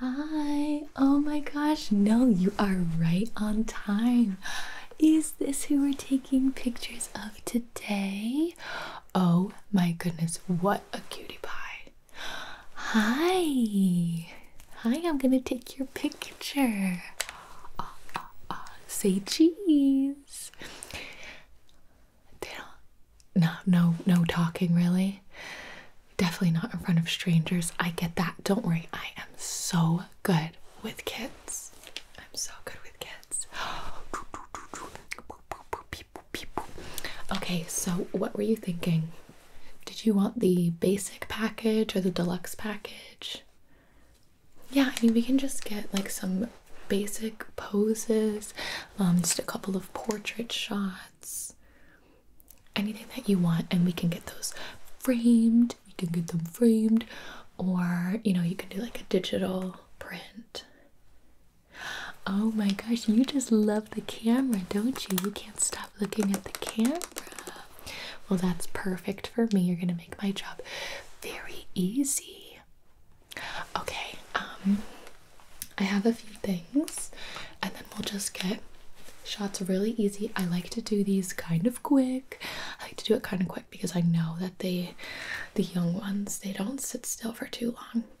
Hi, oh my gosh, no, you are right on time. Is this who we're taking pictures of today? Oh my goodness, what a cutie pie! Hi, hi, I'm gonna take your picture. Ah, ah, ah, say cheese no no no talking really definitely not in front of strangers i get that don't worry i am so good with kids i'm so good with kids okay so what were you thinking did you want the basic package or the deluxe package yeah i mean we can just get like some basic poses um just a couple of portrait shots anything that you want and we can get those framed we can get them framed or you know you can do like a digital print oh my gosh you just love the camera don't you you can't stop looking at the camera well that's perfect for me you're gonna make my job very easy okay um, I have a few things and then we'll just get shots really easy. I like to do these kind of quick. I like to do it kind of quick because I know that the the young ones they don't sit still for too long.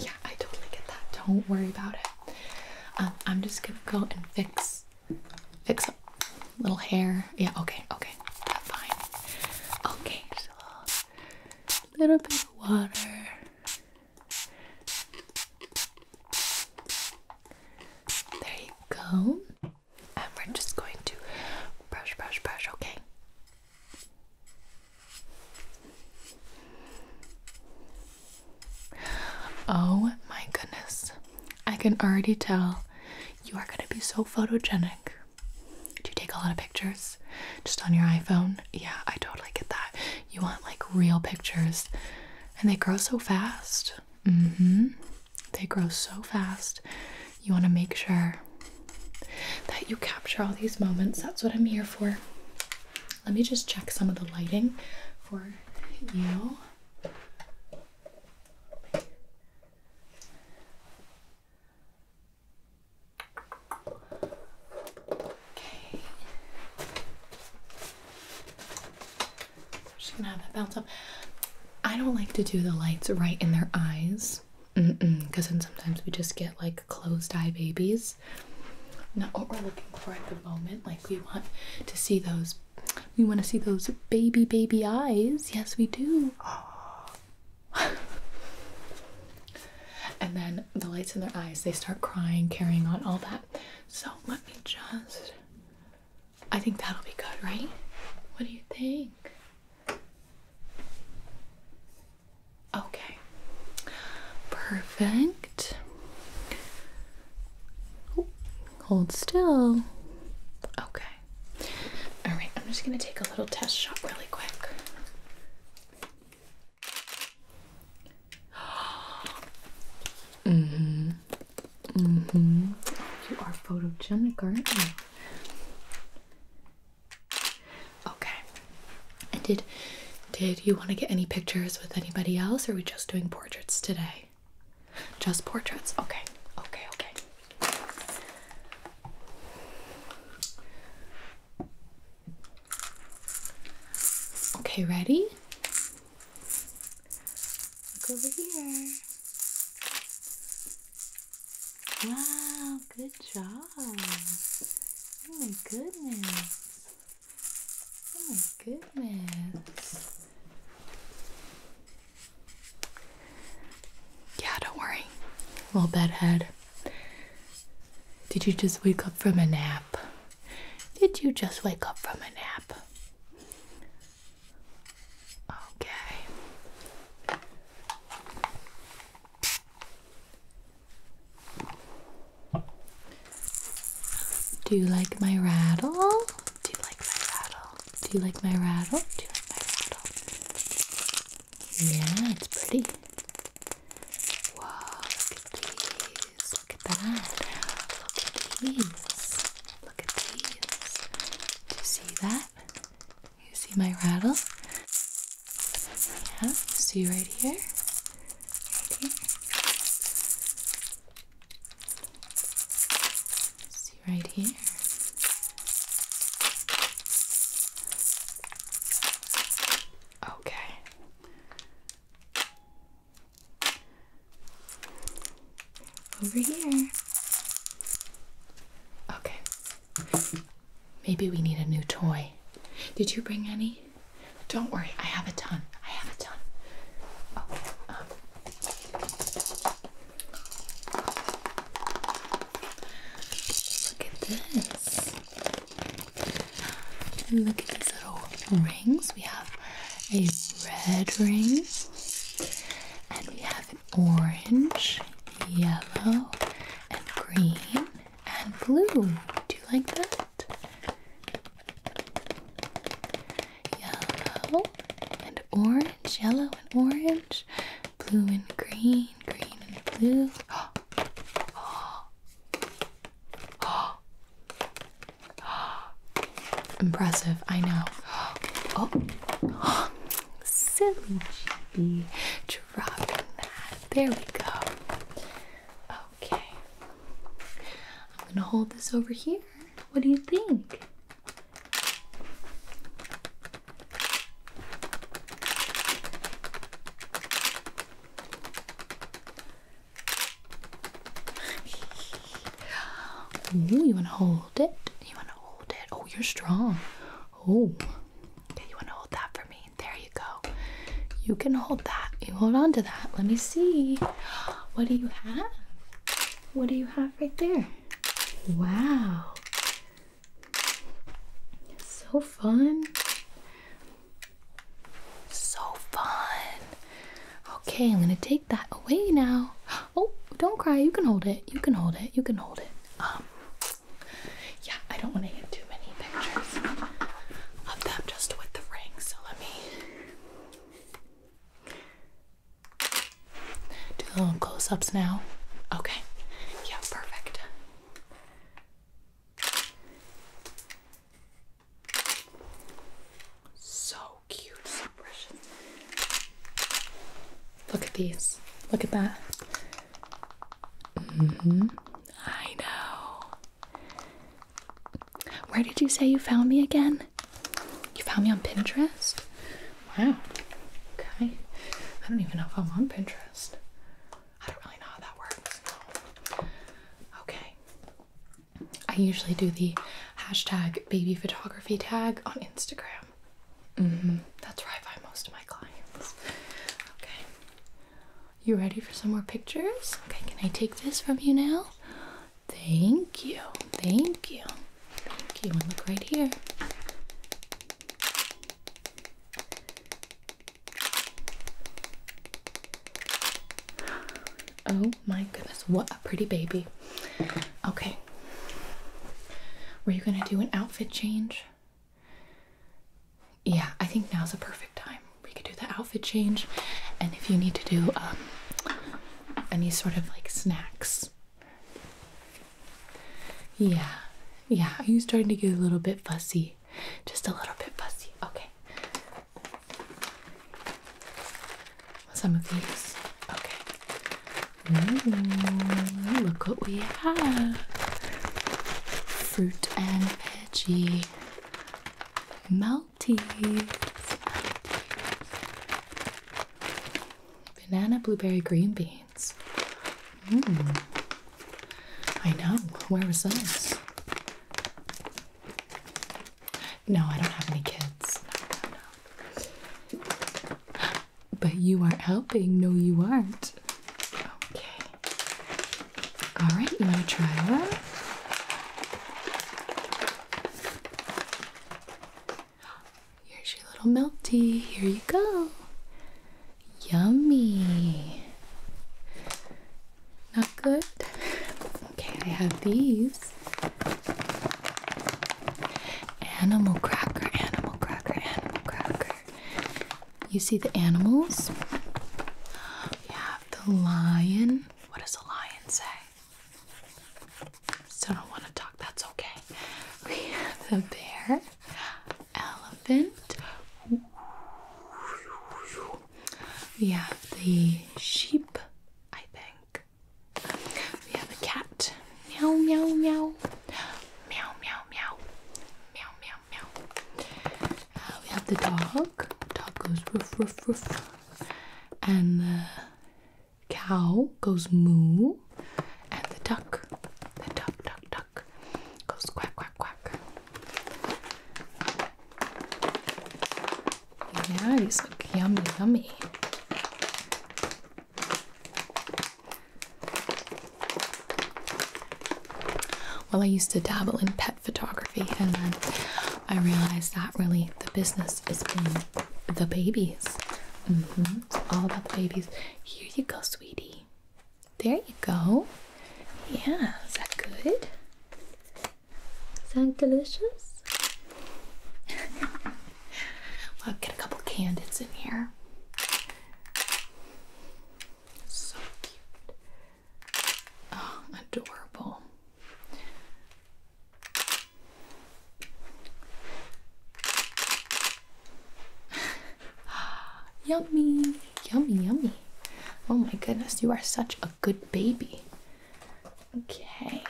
Yeah, I totally get that. Don't worry about it. Um, I'm just gonna go and fix fix a little hair. Yeah, okay, okay. That's fine. Okay, a little bit of water. There you go. And we're just going to brush, brush, brush, okay? Oh my goodness. I can already tell you are going to be so photogenic. Do you take a lot of pictures? just on your iPhone. Yeah, I totally get that. You want like real pictures, and they grow so fast. Mm hmm. They grow so fast. You want to make sure that you capture all these moments. That's what I'm here for. Let me just check some of the lighting for you. Okay. She's gonna have that bounce up. I don't like to do the lights right in their eyes. Because mm -mm, then sometimes we just get like closed eye babies. Not what we're looking for at the moment. Like we want to see those, we want to see those baby, baby eyes. Yes, we do. and then the lights in their eyes, they start crying, carrying on, all that. So let me just. I think that'll be good, right? What do you think? Okay. Perfect. hold still. Okay. All right, I'm just going to take a little test shot really quick mm-hmm. Mm-hmm. You are photogenic, aren't you? Okay. did did you want to get any pictures with anybody else or are we just doing portraits today? Just portraits. Okay. Okay, okay. Okay, ready? Look over here. Wow, good job. Oh my goodness. Oh my goodness. Yeah, don't worry. Little bedhead. Did you just wake up from a nap? Did you just wake up from a nap? Okay. Do you like my rattle? Do you like my rattle? Do you like my rattle? Do you like my rattle? Yeah, it's pretty. Wow, look at these. Look at that. Look at these. Look at these. Do you see that? You see my rattle? Yeah, see right here. Right here. See right here. Okay. Over here. Okay. Maybe we need a new toy. Did you bring any? Don't worry, I have a ton. I have a ton. Um, look at this look at these little rings. We have a red ring, and we have an orange, yellow, and green, and blue. Do you like that? Yellow and orange, yellow and orange blue and green, green and blue. Oh. Oh. Oh. Oh. Impressive, I know. Oh, oh. silly GB, dropping that. There we go. Okay, I'm gonna hold this over here. What do you think? Ooh, you wanna hold it? You wanna hold it? Oh, you're strong. Oh, you wanna hold that for me? There you go. You can hold that. You hold on to that. Let me see. What do you have? What do you have right there? Wow. So fun. So fun. Okay, I'm gonna take that away now. Oh, don't cry. You can hold it. You can hold it. You can hold it. Um, yeah, I don't want to get too many pictures of them just with the ring. So let me do a little close-ups now. Okay, yeah, perfect. So cute, so precious. Look at these. Look at that. Mm-hmm. I know. Where did you say you found me again? You found me on Pinterest? Wow. Okay. I don't even know if I'm on Pinterest. I don't really know how that works. Okay. I usually do the hashtag baby photography tag on Instagram. Mm-hmm. That's where I find most of my clients. Okay. You ready for some more pictures? Okay, can I take this from you now? Thank you. Thank you. Okay, and look right here. Oh my goodness, what a pretty baby. Okay. Were you gonna do an outfit change? Yeah, I think now's a perfect time. We could do the outfit change, and if you need to do um, any sort of like snacks yeah, yeah. Are you starting to get a little bit fussy? Just a little bit fussy. Okay. Some of these. Okay. look what we have. Fruit and veggie. Maltese. Banana blueberry green bean. Hmm. I know. Where was this? No, I don't have any kids. But you aren't helping. No, you aren't. Okay. All right, you want to try one? Here's your little melty. Here you go. Yummy. Not good? Okay, I have these. Animal cracker, animal cracker, animal cracker. You see the animals? We have the lion. What does the lion say? still don't want to talk. That's okay. We have the bear, elephant. We have the sheep, I think. We have a cat. Meow, meow, meow. Meow, meow, meow. Meow, meow, meow. Uh, we have the dog. Dog goes woof, woof, woof. And the cow goes moo, and the duck, the duck, duck, duck, goes quack, quack, quack. Yeah, these look yummy, yummy. Well, I used to dabble in pet photography, and then I realized that really the business is being the babies. Mm-hmm. all about the babies. Here you go, sweetie. There you go. Yeah, is that good? Sound delicious? I'll get a couple candids in here. So cute. Oh, adorable. yummy, yummy, yummy. Oh my goodness, you are such a good baby. Okay.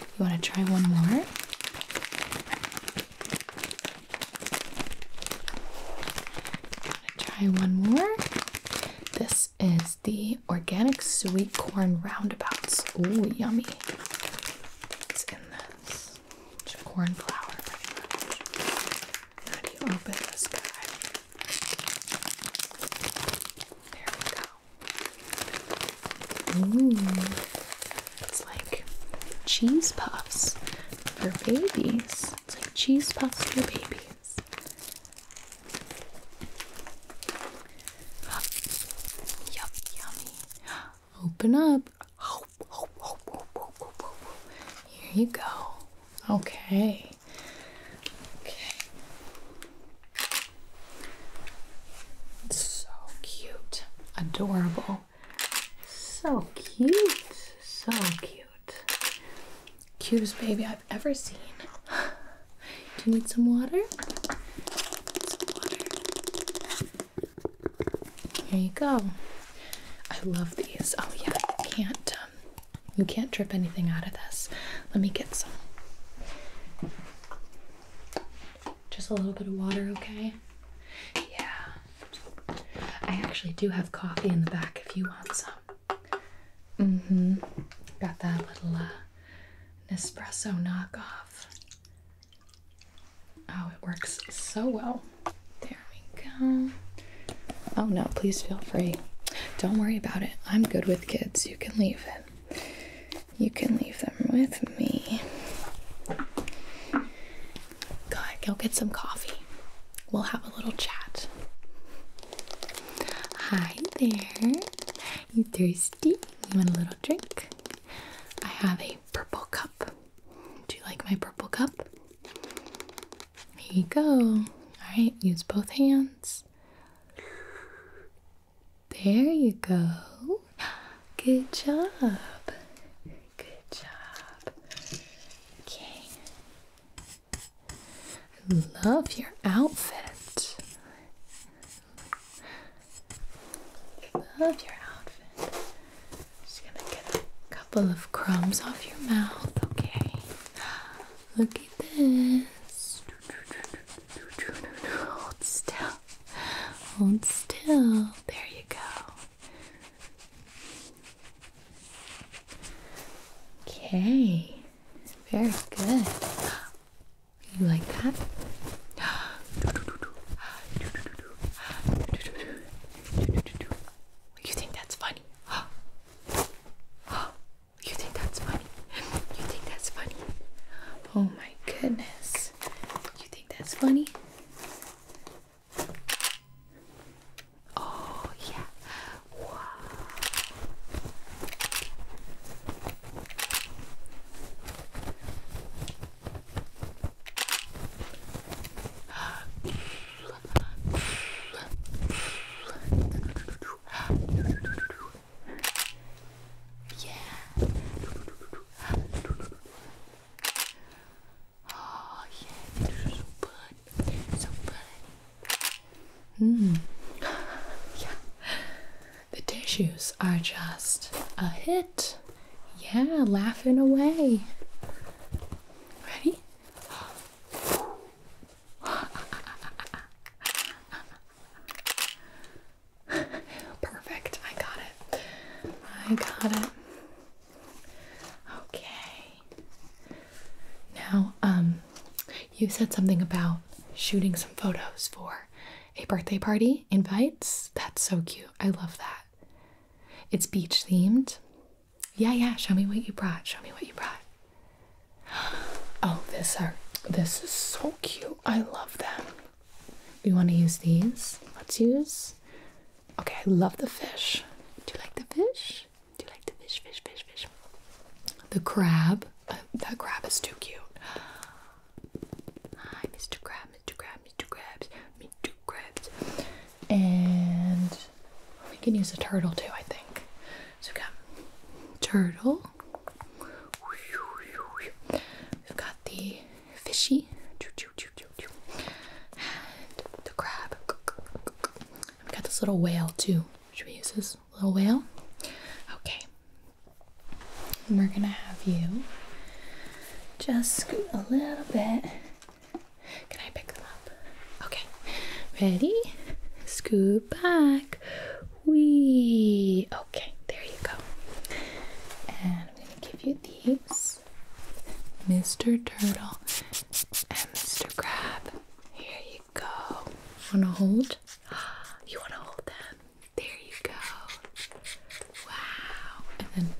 You want to try one more? Try one more. This is the organic sweet corn roundabouts. Ooh, yummy. It's in this? It's corn flour, pretty do you open this guy? There we go. Ooh, it's like cheese puffs for babies. It's like cheese puffs for babies. Yup, yummy. Open up. Here you go. Okay. Okay. so cute. Adorable. So cute. So cute. Cutest baby I've ever seen. Do you need some water? Some Here you go. I love these. Oh yeah, you can't um, you can't drip anything out of this. Let me get some. Just a little bit of water, okay? Yeah. I actually do have coffee in the back if you want some. Mm-hmm. Got that little uh, Nespresso knockoff. Oh, it works so well. There we go. Oh no, please feel free. Don't worry about it. I'm good with kids. You can leave it. You can leave them with me. Go ahead, go get some coffee. We'll have a little chat. Hi there. You thirsty? You want a little drink. I have a purple cup. Do you like my purple cup? There you go. Alright, use both hands. There you go. Good job. Good job. Okay. I love your outfit. Love your outfit. Just gonna get a couple of crumbs off your mouth, okay? Look at this. Hold still. Hold still. There you go. Okay. Very good. You like that? You think that's funny? You think that's funny? You think that's funny? Oh my goodness. You think that's funny? Oh yeah. Wow. Yeah. Oh yeah, it's so good. So good. Mm. yeah. The tissues are just a hit. Yeah, laughing away. Ready? Perfect. I got it. I got it. Okay. Now, um, you said something about shooting some photos for a birthday party invites. That's so cute. I love that. It's beach themed. Yeah, yeah. Show me what you brought. Show me what you brought. Oh, this art. this is so cute. I love them. We want to use these. Let's use. Okay, I love the fish. Do you like the fish? Do you like the fish, fish, fish, fish? The crab. Uh, that crab is too cute. Hi, Mr. Crab, Mr. Crab, Mr. Crabs, Mr. Crabs. And we can use a turtle too, I think. So we got turtle. We've got the fishy. And the crab. We've got this little whale too. Should we use this little whale? Okay we're gonna have you just scoot a little bit. Can I pick them up? Okay. Ready? Scoot back. Wee. Okay, there you go. And I'm gonna give you these. Mr. Turtle and Mr. Crab. Here you go. Wanna hold? You wanna hold them? There you go. Wow. And then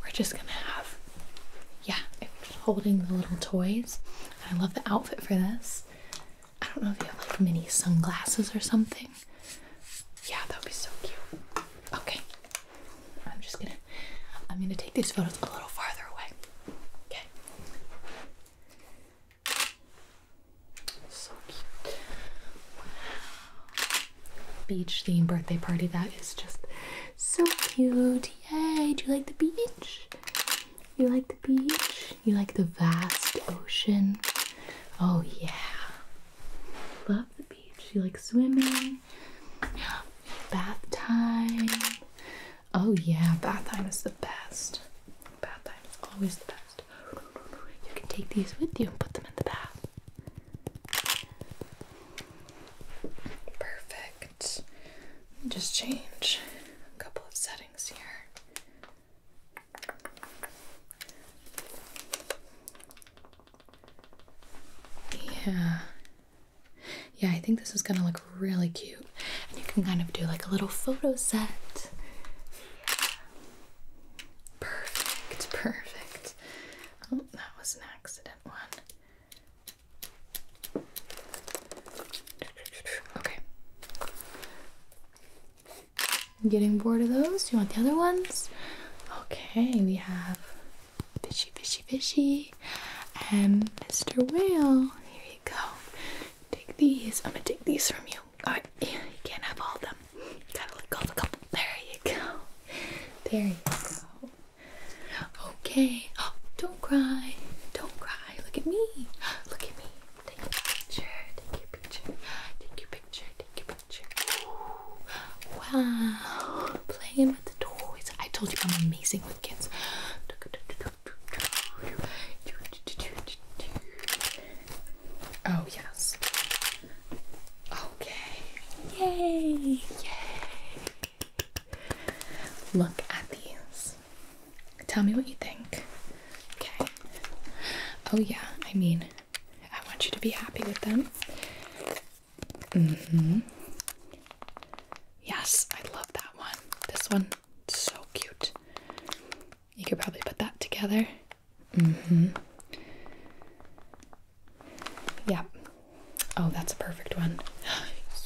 we're just gonna have, yeah, holding the little toys. I love the outfit for this. I don't know if you have like mini sunglasses or something. Yeah, that would be so cute. Okay. I'm just gonna I'm gonna take these photos a little farther away. Okay. So cute. Beach theme birthday party. That is just so cute. Yay. Do you like the beach? You like the beach? You like the vast ocean? Oh, yeah. Love the beach. You like swimming? Bath time. Oh yeah, bath time is the best. Bath time is always the best. You can take these with you and put them in the bath. Perfect. Just change a couple of settings here. Yeah. Yeah, I think this is going to look really cute and you can kind of do like a little photo set. Perfect, perfect. Oh, that was an accident one. Okay. Getting bored of those? You want the other ones? Okay, we have Fishy Fishy Fishy and Mr. Whale. Here you go. Take these. I'm gonna take these from you. Alright, you can't have all of them. Gotta let go of a couple. There you go. There you go. Okay. Oh, don't cry. Don't cry. Look at me. Look at me. Take your picture. Take your picture. Take your picture. Take your picture. Wow. Playing with the toys. I told you I'm amazing with kids. Oh, yes. Okay. Yay! Yay! Look at these. Tell me what you think. Okay. Oh, yeah. I mean, I want you to be happy with them. Mm hmm. Yes, I love that one. This one, so cute. You could probably put that together. Mm-hmm. Yeah. Oh, that's a perfect one.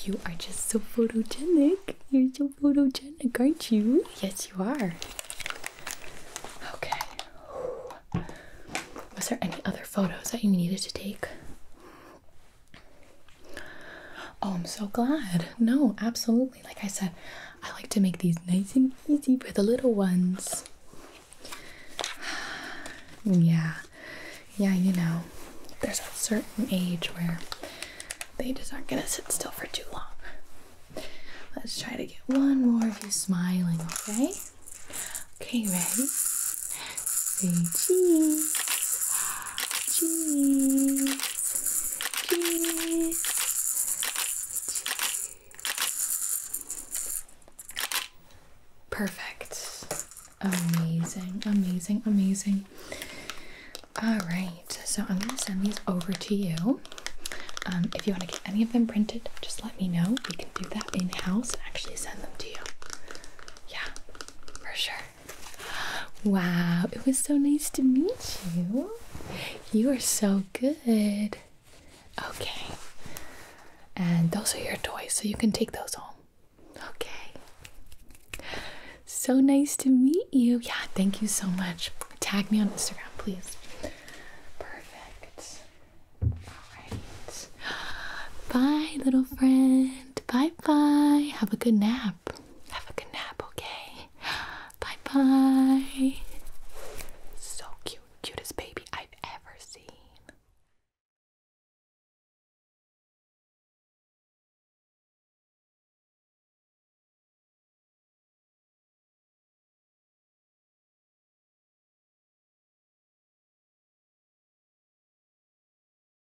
You are just so photogenic. You're so photogenic, aren't you? Yes, you are. Okay. Was there any other photos that you needed to take? Oh, I'm so glad. No, absolutely. Like I said, I like to make these nice and easy for the little ones. yeah, yeah, you know, there's a certain age where they just aren't gonna sit still for too long. Let's try to get one more of you smiling, okay? Okay, ready? Say cheese. Cheese. Perfect. Amazing, amazing, amazing. All right, so I'm going to send these over to you. Um, if you want to get any of them printed, just let me know. We can do that in house and actually send them to you. Yeah, for sure. Wow, it was so nice to meet you. You are so good. Okay. And those are your toys, so you can take those home. Okay. So nice to meet you. Yeah, thank you so much. Tag me on Instagram, please. Perfect. All right. Bye, little friend. Bye bye. Have a good nap. Have a good nap, okay? Bye bye. So cute. Cutest baby I've ever seen.